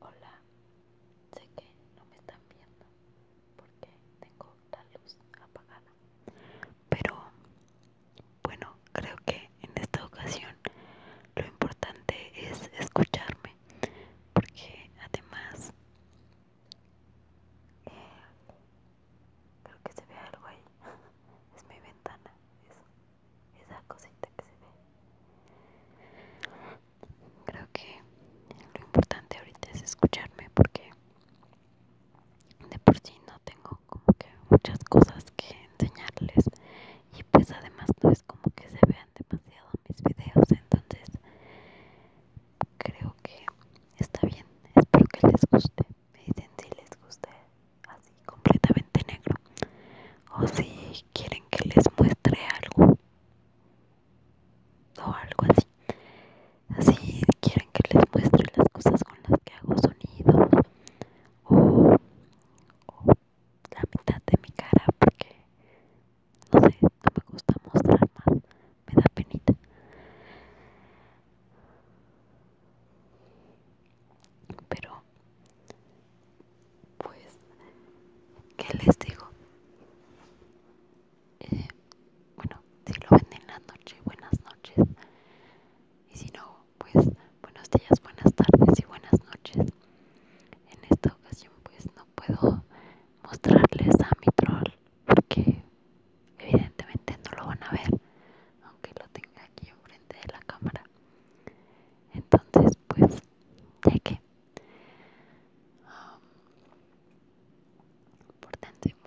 Hola, sé que no me están viendo porque tengo la luz apagada, pero bueno, creo que en esta ocasión lo importante es escucharme, porque además eh, creo que se ve algo ahí, es mi ventana, eso esa cosita que se ve creo que lo importante ahorita es escucharme porque de por sí no tengo como que muchas cosas que enseñarles y pues además no es como que se vean demasiado mis videos entonces creo que está bien espero que les guste me dicen si les gusta así completamente negro o si quieren que les muestre algo o algo así así quieren que les muestre las cosas con las que hago sonidos o, o la mitad de mi cara porque no sé no me gusta mostrar más me da penita. Pero, pues, ¿qué les digo? Eh, bueno, si lo ven en la noche, buenas noches. Y si no, pues, buenos días, buenas tardes y buenas noches. En esta ocasión, pues, no puedo mostrarles a mi troll porque evidentemente no lo van a ver aunque lo tenga aquí enfrente de la cámara entonces pues ya que um,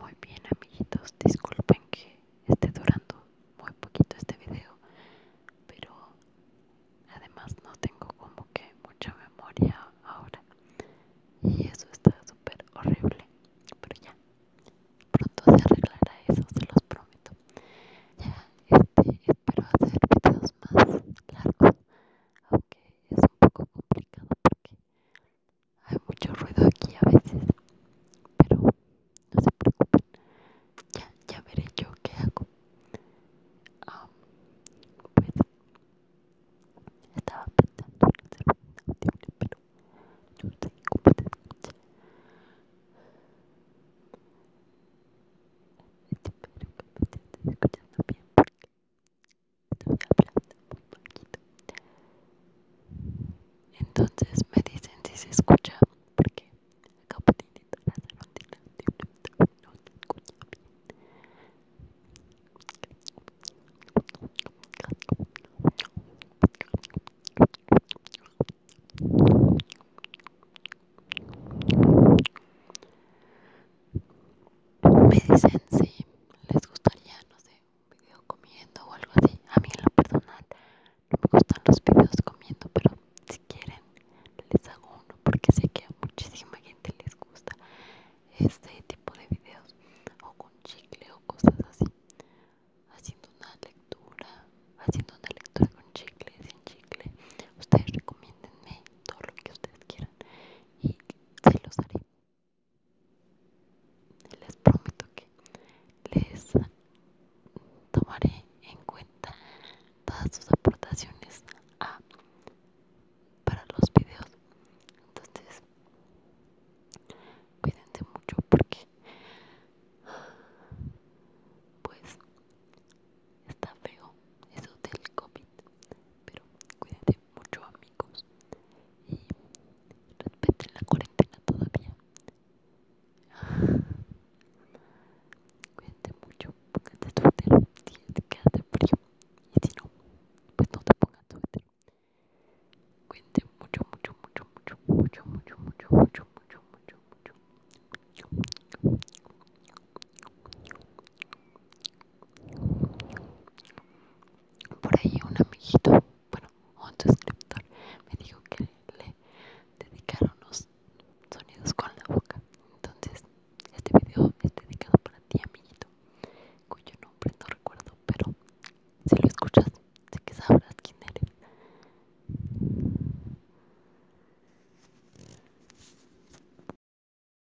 muy bien amiguitos, disculpen que esté durando muy poquito este video, pero Además no tengo como que mucha memoria ahora. Y eso está súper horrible. Pero ya, pronto se arreglará eso, se los prometo. Ya, este, espero hacer videos más largos. Aunque es un poco complicado porque hay mucho ruido aquí a veces. Pero no se preocupen. Ya, ya veré yo qué hago um, pues estaba pensando en hacer un audio pero no estoy cómo se escucha espero que me estés escuchando bien porque estoy hablando muy poquito entonces me dicen si se escucha porque me dicen si les gustaría, no sé, un video comiendo o algo así. A mí en lo personal no me gustan los videos comiendo, pero si quieren les hago uno porque sé que a muchísima gente les gusta este tipo de videos o con chicle o cosas así. Haciendo una lectura, haciendo una lectura con chicle, sin chicle. Ustedes recomiendenme todo lo que ustedes quieran y se los haré les prometo que les tomaré en cuenta todas sus aportaciones para los videos entonces cuídense mucho porque pues está feo eso del COVID pero cuídense mucho amigos y la cuarentena todavía cuente mucho póngate si te quedas frío y si no pues no te pongas mucho, cuídate mucho mucho mucho mucho mucho mucho mucho mucho mucho mucho mucho mucho por ahí un amiguito, bueno, un suscriptor me dijo que le dedicaron los sonidos con la boca. Entonces, este video es dedicado para ti, amiguito, cuyo nombre no recuerdo, pero si lo escuchas, sé que sabrás quién eres.